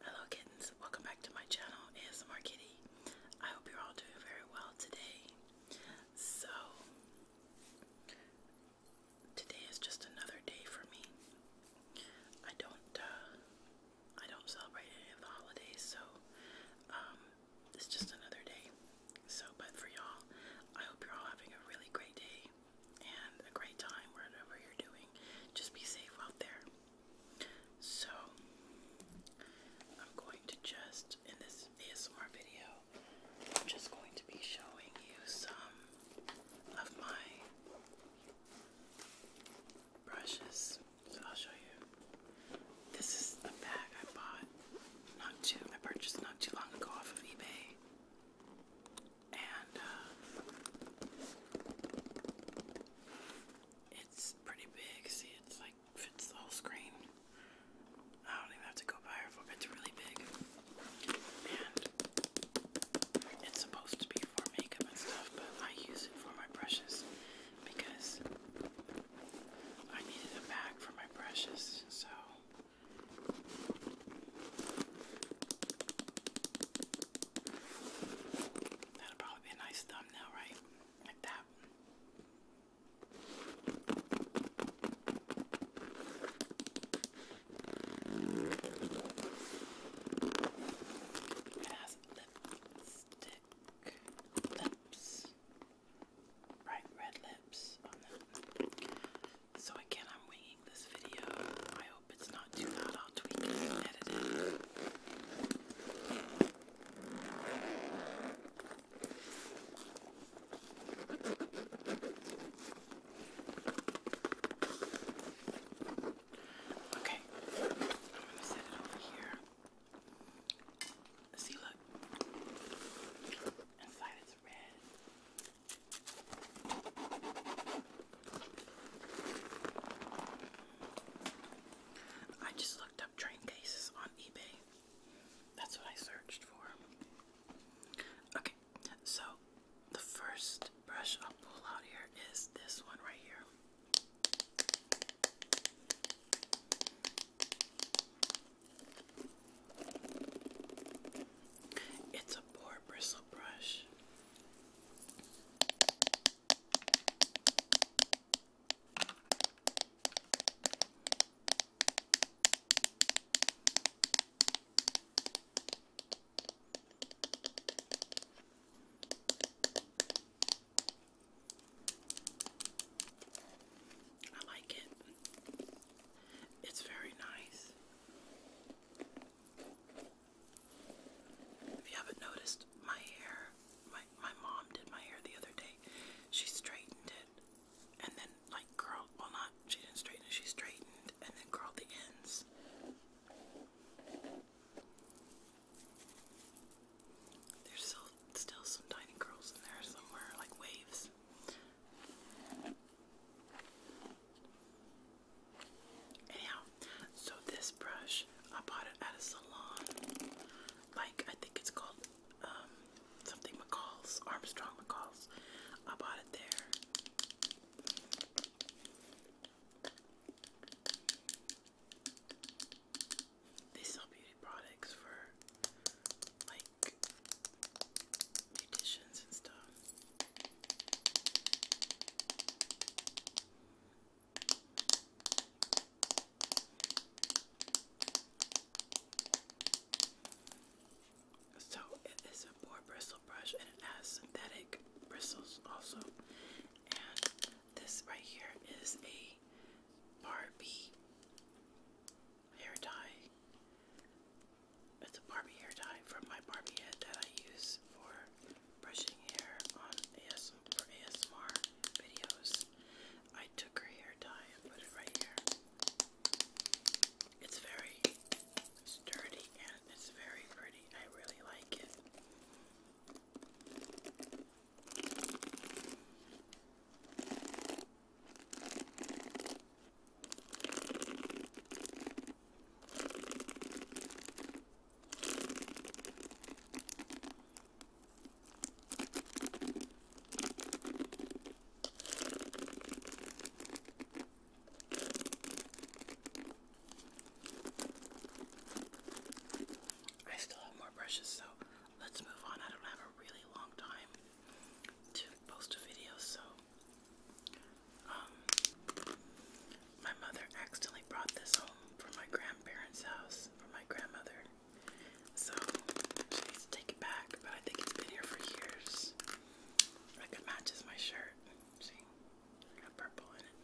Hello kittens, welcome back to my channel ASMR Kitty. I hope you're all doing very well today. So, today is just another day for me. I don't, uh, I don't celebrate any of the holidays, so, um, it's just another day. So, but for y'all, I hope you're all having a really great day and a great time wherever you're doing. Just be safe out there. So, I'm going to just, in this ASMR video, I'm just going to be showing you some of my brushes. So, I'll show you. This is a bag I bought not too, I purchased not too long ago off of eBay and uh, it's pretty big. See, it's like fits the whole screen. I don't even have to go by her for it's really big, and it's supposed to be for makeup and stuff, but I use it for my brushes because I needed a bag for my brushes, so. That'll probably be a nice thumbnail, right? Like that. lipstick lips. Bright red lips oh, So again, I'm waiting seeing this video. I hope it's not too loud. I'll tweak it and edit it. Okay, I'm gonna set it over here. See, look. Inside it's red. I just looked up train cases on eBay. That's what I searched for. Okay, so the first brush I'll pull out here is this one right here. It's a poor bristle brush. I like it. It's very nice. If you haven't noticed, my hair, my, my mom did my hair the other day. She straightened it and then, like, curled. Well, not, she didn't straighten it, she straightened and then curled the ends. There's still, still some tiny curls in there somewhere, like waves. Anyhow, so this brush, I bought it at a salon. Like, I think it's called um, something McCall's, Armstrong McCall's. I bought it there. They sell beauty products for like beauticians and stuff. So it is a boar bristle brush and it has synthetic bristles also. And this right here is a Barbie hair dye. It's a Barbie hair dye from my Barbie head that I use for brushing hair on ASMR videos. I took her hair dye and put it right here. It's very sturdy and it's very pretty. I really like it. I still have more brushes, so let's move on. I don't have a really long time to post a video, so um, my mother accidentally brought this home from my grandparents' house, for my grandmother. So she needs to take it back, but I think it's been here for years. Like it matches my shirt. See? got purple in it.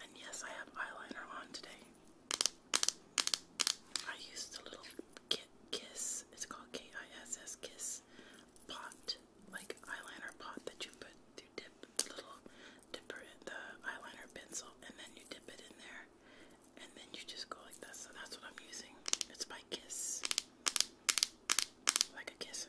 And yes, I have eyeliner on today. I used the little kit kiss, it's called K-I-S-S kiss pot, like eyeliner pot that you put you dip the little dipper in the eyeliner pencil and then you dip it in there and then you just go like this. So that's what I'm using. It's by kiss. Like a kiss.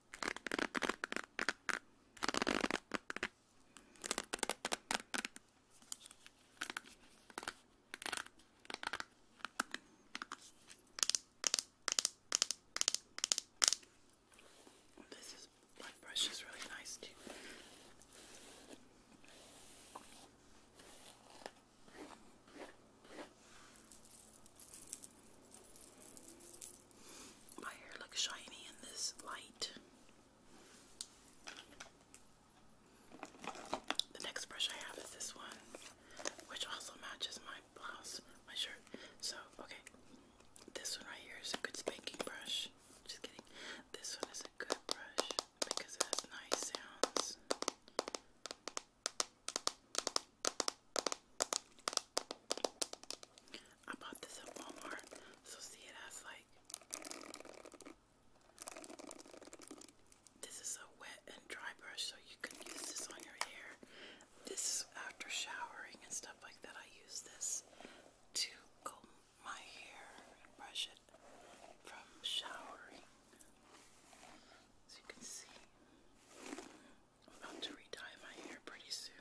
This is blood brush is really nice too. My hair looks shiny in this light. The next brush I have is this one, which also matches my blouse, my shirt. So, okay, this one right here is a good spanking brush. Just kidding. This one is a good brush because it has nice sounds. I bought this at Walmart, so see it as like this is a wet and dry brush, so you can use this on your hair. This after showering and stuff like that. I use this to comb my hair and brush it from showering. As you can see, I'm about to retie my hair pretty soon.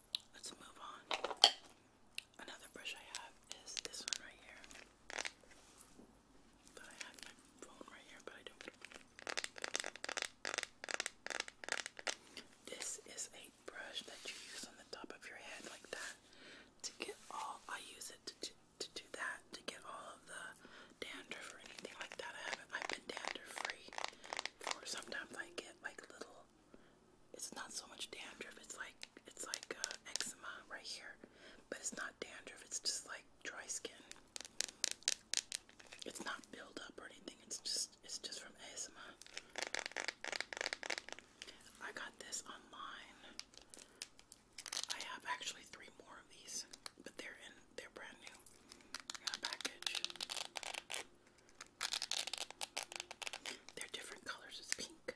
Let's move on. Another brush I have is this one right here. But I have my phone right here, but I don't. This is a brush that you use on the top of your head like that to get all. I use it to to do that to get all of the dandruff or anything like that. I haven't. I've been dandruff free. For sometimes I get like little it's not so much dandruff. It's like it's like uh, eczema right here, but it's not dandruff. It's just like dry skin. It's not buildup or anything. It's just it's just from eczema. I got this online. I have actually three more of these, but they're in they're brand new package. They're different colors. It's pink,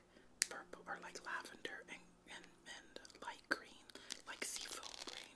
purple, or like lavender and and, and light green, like seafoam green.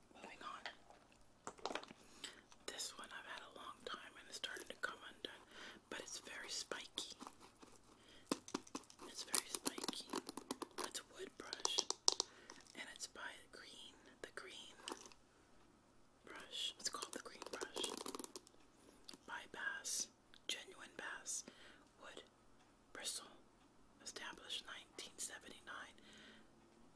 Oh Moving on. This one I've had a long time and it's starting to come undone, but it's very spiky. It's very spiky. It's wood brush, and it's by green, the green brush. It's called the green brush by Bass, genuine Bass wood bristle, established 1979.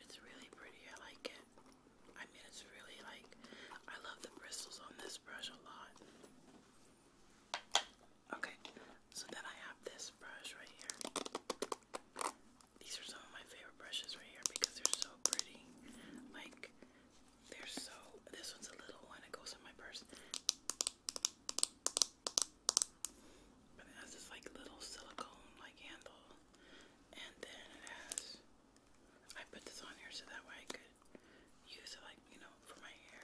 It's really pretty. I like it. I mean, it's really like, I love the bristles on this brush a lot. Okay, so then I have this brush right here. These are some of my favorite brushes right here because they're so pretty. Like, they're so. This one's a little one, it goes in my purse. it has this like little silicone like handle. And then it has. I put this on here so that way I could use it like, you know, for my hair.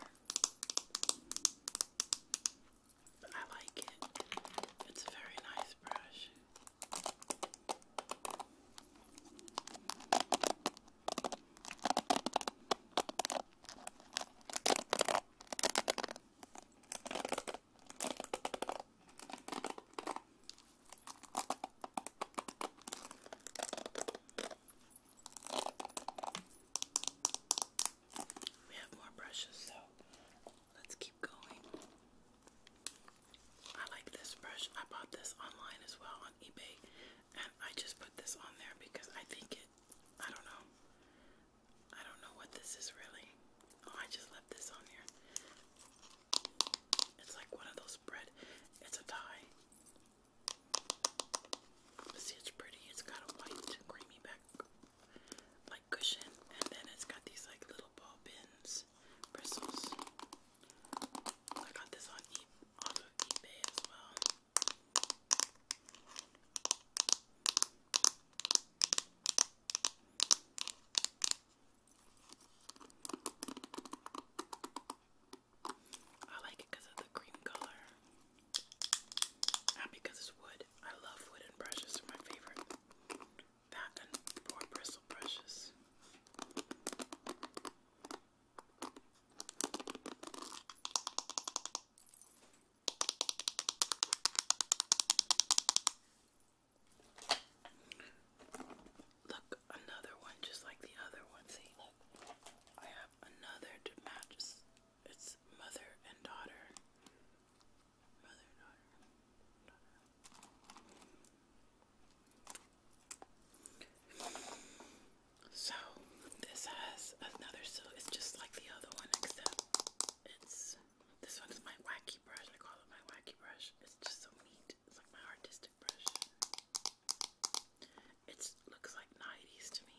But I like it. It's a very nice brush. We have more brushes, so let's keep going. I like this brush. I bought this online as well on eBay, and I just put this on there because I think it, I don't know. I don't know what this is really. Oh, I just left this on here. It's like one of those bread, it's a tie. See, it's pretty. It's got a white, creamy back like cushion, and then it's got these like little ball pins, bristles. I got this on e eBay as well. I like it because of the cream color. Not because it's wood. I love wooden brushes, they're my favorite not the four bristle brushes. Look, another one just like the other one. See, look, I have another to match. It's mother and daughter Mother, daughter, So this has another so it's just like the other one except it's this one my wacky brush. I call it my wacky brush. It's just so neat. It's like my artistic brush. It looks like 90s to me.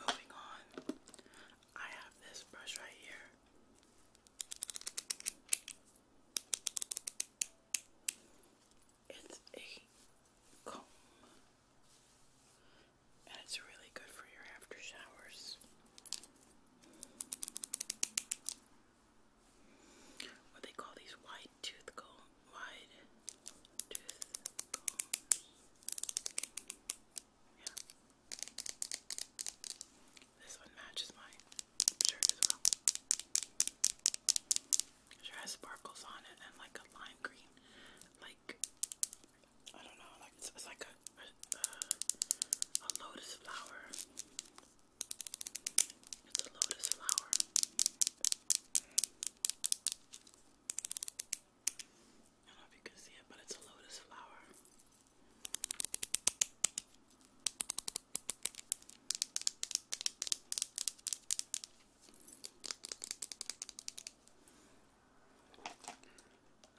Moving on, I have this brush right here. It's a comb and it's really good for your after showers. What they call these wide tooth comb, wide tooth combs. Yeah. This one matches my shirt as well. It has sparkles on it and like a lime green, like I don't know, like it's, like a a lotus flower. It's a lotus flower. I don't know if you can see it, but it's a lotus flower.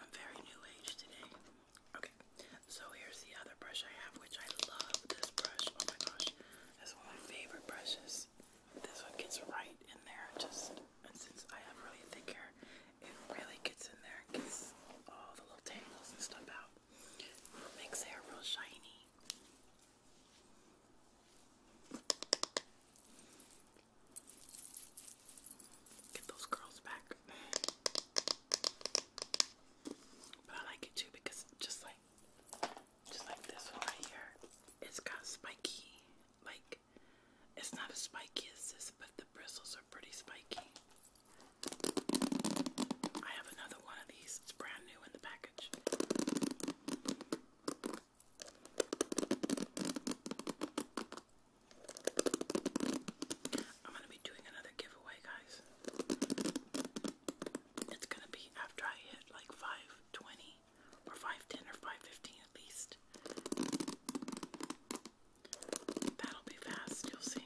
I'm very new age today. Okay, so here's the other brush I have, which I love this brush. Oh my gosh, that's one of my favorite brushes. This one gets right in there, just, and since I have really thick hair, it really gets in there and gets all the little tangles and stuff out. Makes hair real shiny. Get those curls back. But I like it too because just like just like this one right here, it's got spiky. Like it's not as spiky as this, but the bristles are pretty spiky. I have another one of these. It's brand new in the package. I'm going to be doing another giveaway, guys. It's going to be after I hit like 520 or 510 or 515 at least. That'll be fast, you'll see.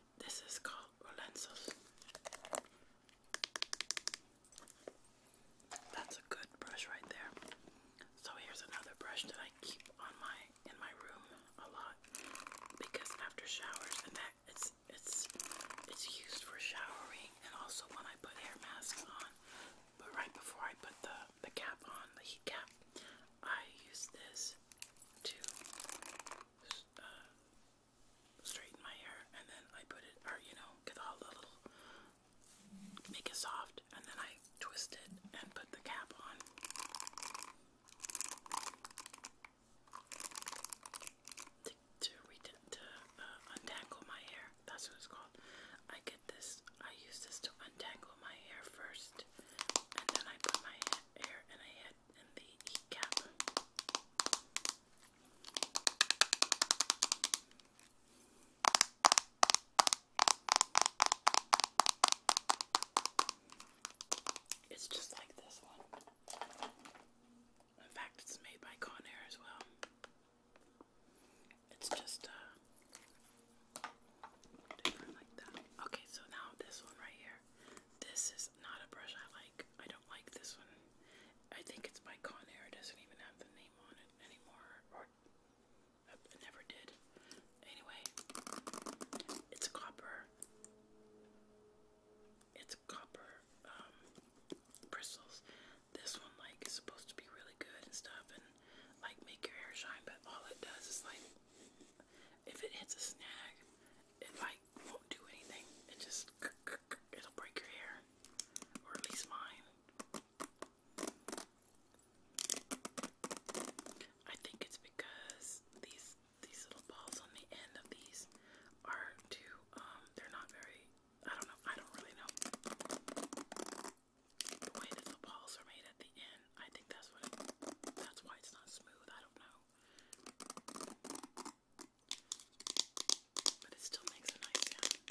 This is called Rolenzo's. That's a good brush right there. So here's another brush that I keep on my in my room a lot because after showers and that it's it's it's used for showering and also when I put hair masks on. But right before I put the the cap on, the heat cap, I use this to uh, straighten my hair and then I put it, or you know, get all the little, make it soft, and then I twist it and put the cap on. To, to, uh, untangle my hair, that's what it's called. I get this, I use this to untangle my hair first, and then I put my hair in a it's just like this one. In fact, it's made by Conair as well. It's just uh, different like that. Okay, so now this one right here. This is not a brush I like. I don't like this one. I think it's by Conair. It doesn't even have the name on it anymore. Or uh, it never did. Anyway, it's copper. It's copper bristles. Um, this one like is supposed to be really good and stuff and like make your hair shine, but all it does is like if it hits a snag, it like won't do anything. It just it'll break your hair, or at least mine. I think it's because these these little balls on the end of these are too um they're not very I don't know I don't really know. The way that the balls are made at the end, I think that's what that's why it's not smooth. I don't know. But it still makes a nice sound.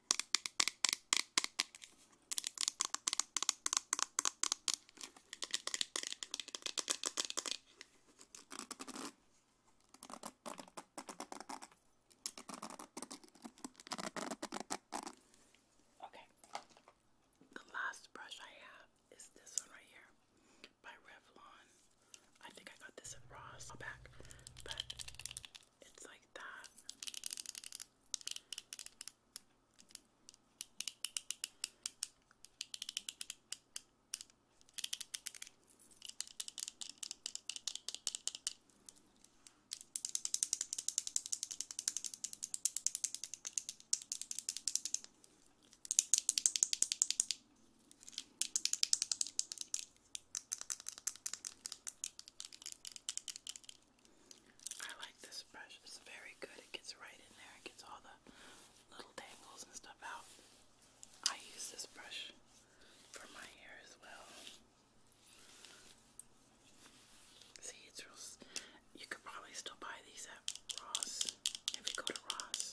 Okay. The last brush I have is this one right here by Revlon. I think I got this at Ross back, it's like that. I like this brush. It's very good. It gets right in there. It gets all the little tangles and stuff out. I use this brush for my hair as well. See, it's real. You could probably still buy these at Ross if you go to Ross.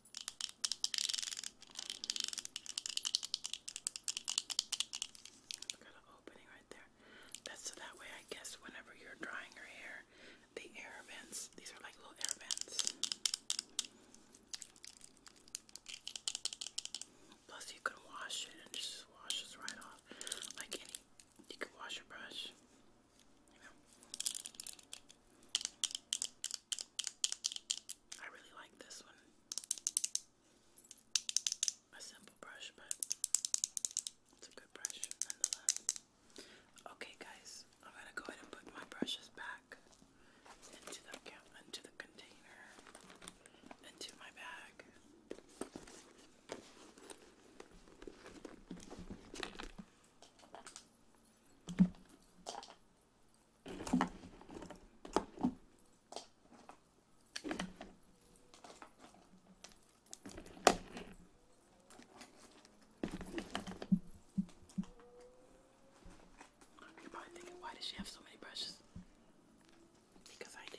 i got an opening right there. That's so that way I guess whenever you're drying your hair, the air vents, these are like little air vents. Plus you can wash it and just washes right off. Like any you can wash your brush. You I really like this one. A simple brush, but it's a good brush nonetheless. Okay, guys, I'm gonna go ahead and put my brushes back into the container, into my bag you why does she have so many brushes? Because I do.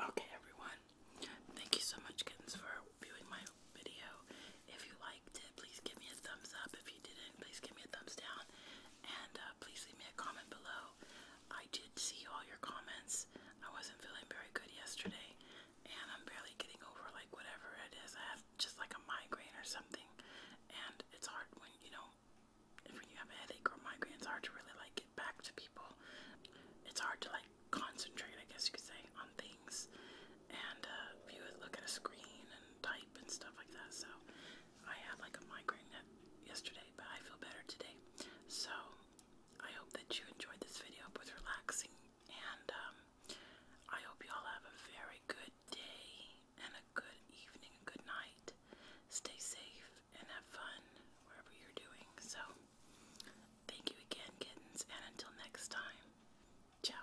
Okay, everyone, thank you so much, kittens, for viewing my video. If you liked it, please give me a thumbs up. If you didn't, please give me a thumbs down and uh, please leave me a comment below. I did see all your comments. I wasn't feeling very good yesterday, and I'm barely getting over like whatever it is. I have just like a migraine or something, and it's hard when you know if when you have a headache or migraine, it's hard to really like get back to people. It's hard to like concentrate, I guess you could say, on things and uh, view look at a screen and type and stuff like that. So I had like a migraine yesterday, but I feel better today. So I hope that you enjoyed this video. It was relaxing, and um, I hope you all have a very good day and a good evening, a good night. Stay safe and have fun wherever you're doing. So thank you again, kittens, and until next time, ciao.